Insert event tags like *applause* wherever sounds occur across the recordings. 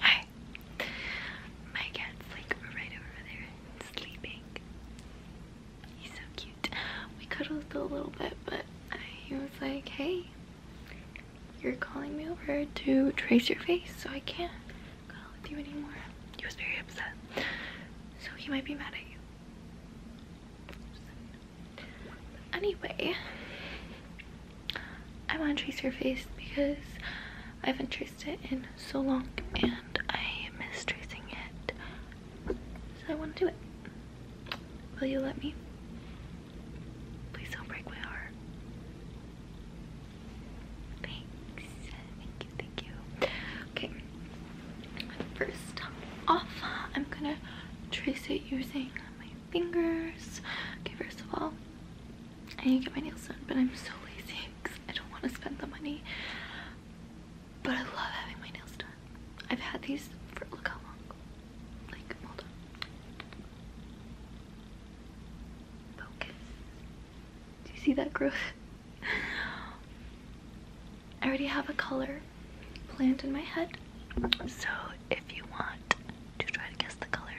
Hi. My cat's like right over there sleeping. He's so cute. We cuddled a little bit, but he was like, hey, you're calling me over to trace your face, so I can't cuddle with you anymore. He was very upset. So he might be mad at you. Anyway, I want to trace your face because I haven't traced it in so long and I miss tracing it. So I want to do it. Will you let me? Please don't break my heart. Thanks. Thank you, thank you. Okay. First off, I'm gonna trace it using my fingers. Okay, first of all, I need to get my nails done, but I'm so lazy I don't want to spend the money. But I love having my nails done. I've had these for look how long. Like, hold on. Focus. Do you see that growth? *laughs* I already have a color planned in my head. So if you want to try to guess the color,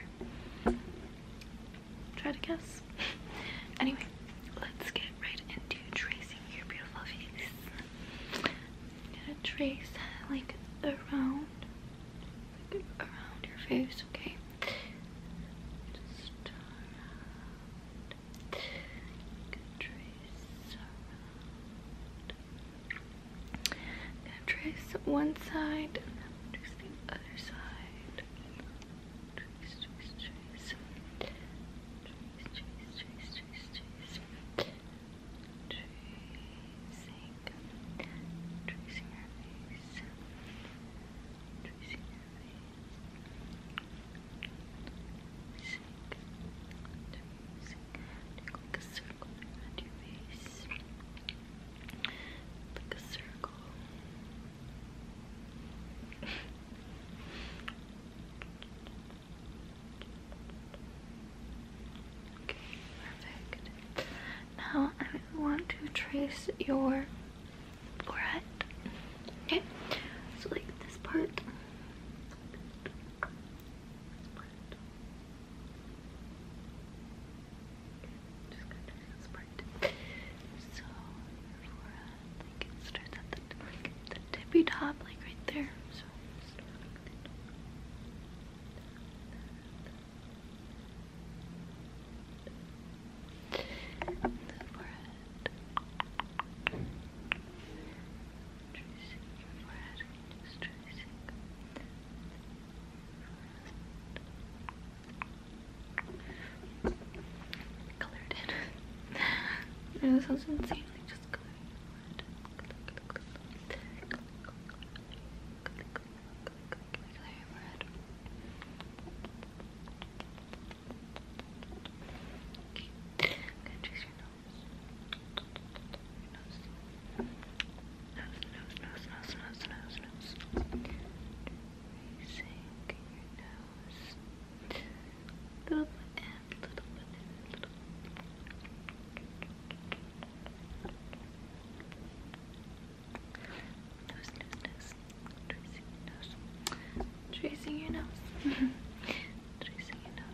Try to guess. *laughs* Anyway, let's get right into tracing your beautiful face. gonna trace like around, around your face, okay? Uh, I'm gonna trace one side and I'm gonna trace the other side. Trace, trace, trace. Trace, trace, trace, trace, trace. Tracing. Tracing her face. Tracing her face. Tracing. Take like a circle around your face. Circle, like a circle. okay, perfect. Now I want to trace your forehead. Okay, so like this part. Just got to this So for uh, like it at the like the tippy top, like right there. So The forehead. Tracing your forehead. tracing. Colored *laughs* it. no, this sounds insanely just colored. Okay. I'm gonna trace your nose. Your nose. Nose, nose, nose, nose, nose, nose, nose. Tracing your nose. Little bit little bit little Nose, nose, nose. nose. Tracing nose. Tracing your nose. Tracing your nose. Tracing your nose.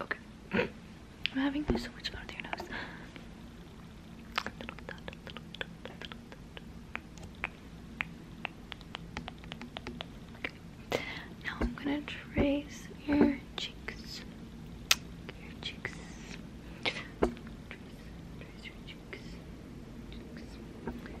Okay. I'm having to do so much fun with your nose. Now I'm gonna trace your cheeks. Your cheeks. Trace, your Cheeks. Cheeks. Cheeks.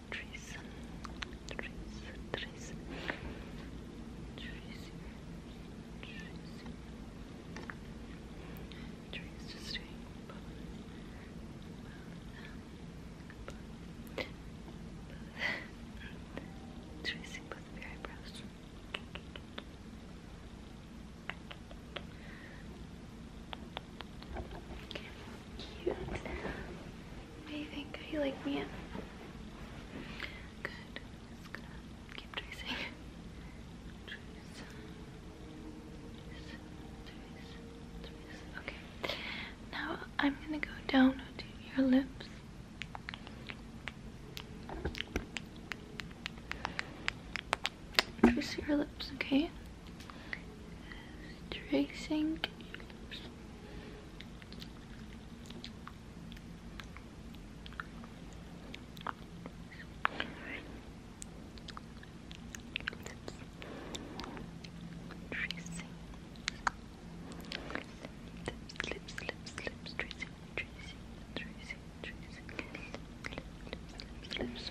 trees, trees, trees, trees, trees, trees just doing well, well, tracing both of your eyebrows. Okay. Cute. What do you think? How you like me in? Okay. Now I'm gonna go down to your lips. Trace your lips, okay? tracing tracing Lips, lips, lips, tracing, tracing, tracing, tracing, lips, lips, lips, lips, lips, tracing, lips, lips, lips,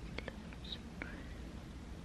lips, lips,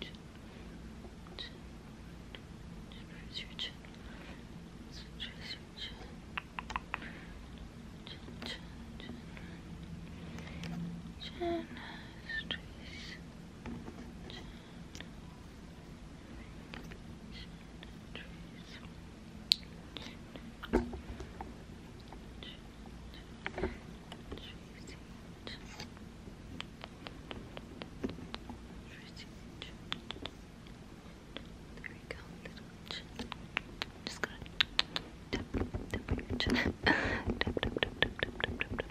chin, chin, chin, raise your chin, raise your chin, chin, chin, chin, chin, just raise, chin, chin, raise, chin, chin, raise. There we go, little chin. Just gonna tap, tap on your chin. tap, tap, tap, tap, tap, tap, tap,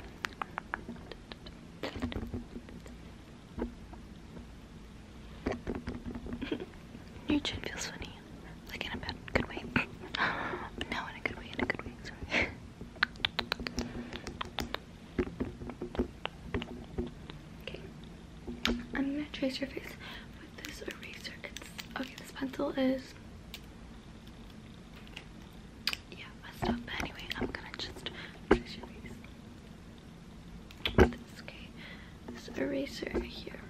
tap. your chin feels funny, like in a bad, good way. no, in a good way, in a good way, sorry. Okay. I'm gonna trace your face with this eraser. okay, this pencil is yeah, messed up. anyway, I'm gonna just trace your face. With this okay. This eraser here. *laughs*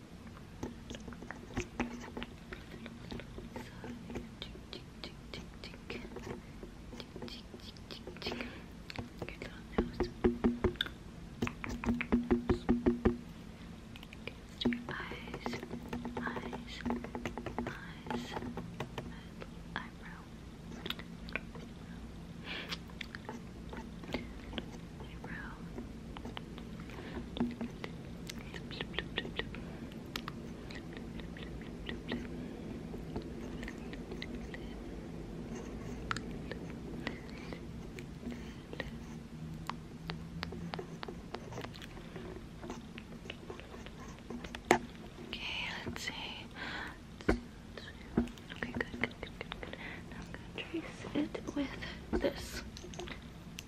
eyebrow. Okay, let's see. Okay, good, good, good, good, good. I'm gonna trace it with this.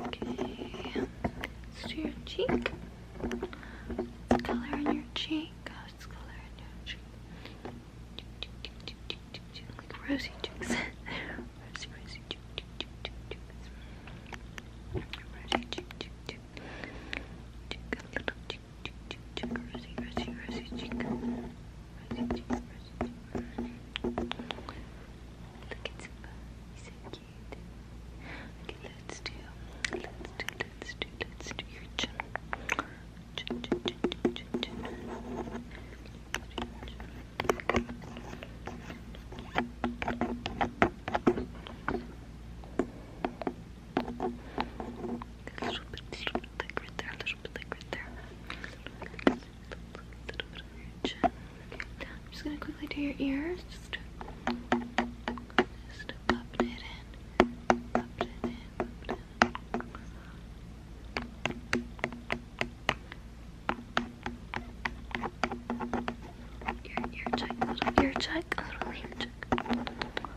Okay, let's do your cheek. color on your cheek? What's oh, color on your cheek? rosy cheeks. *laughs* rosy, rosy cheek, cheek, cheek, cheek, cheek. Rosy cheek, cheek, cheek. Cheek, a little cheek rosy, rosy, rosy cheek. Rosy cheek, rosy cheek. Look at Simba, he's so cute. Okay, let's do, let's do, let's do, let's do your chin. Chin, chin, chin, chin, chin, chin. Okay. A little bit, little bit like right there, a little bit like right there. A little bit on your chin. I'm just gonna quickly do your ears. Just, just pop it in, pop it in, pop it in. Ear, ear check, a little ear check, a little ear check.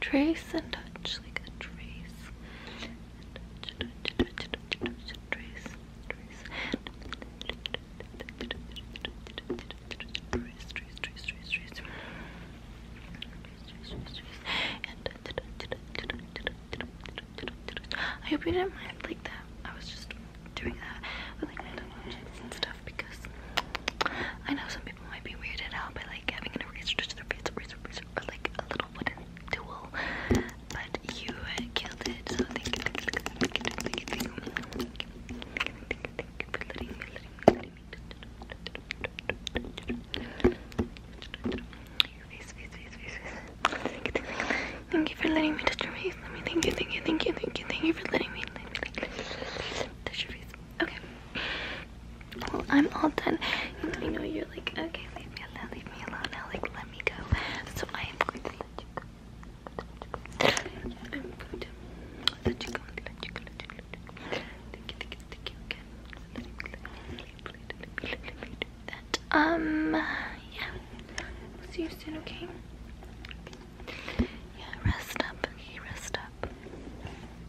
trace and touch like a trace and touch, touch, touch, touch, touch, trace, trace trace, trace, trace, trace, trace I hope you didn't mind like that. I was just doing that with like random objects and stuff because I know some people might be weirded out by like having an eraser to their face, eraser, eraser, or like a little wooden tool. But you killed it, so thank you, thank you, thank you, thank you, thank you, thank you, thank you for letting me, letting me, letting me. Your face, face, face, face, face. Thank you for letting me touch your face. Let me thank you, thank you, thank you, thank you, thank you for letting me touch your face. Okay. Well, I'm all done. I know you're like, okay, leave me alone, leave me alone now. Like, let me go. So I am going to let you go. I'm going to let you go. Let you go. Let you go. Let you go. Thank you. Thank you. Thank you again. Let me, let me, let me, let me do that. Um, yeah. We'll see you soon, okay? Yeah, rest up. Okay, rest up.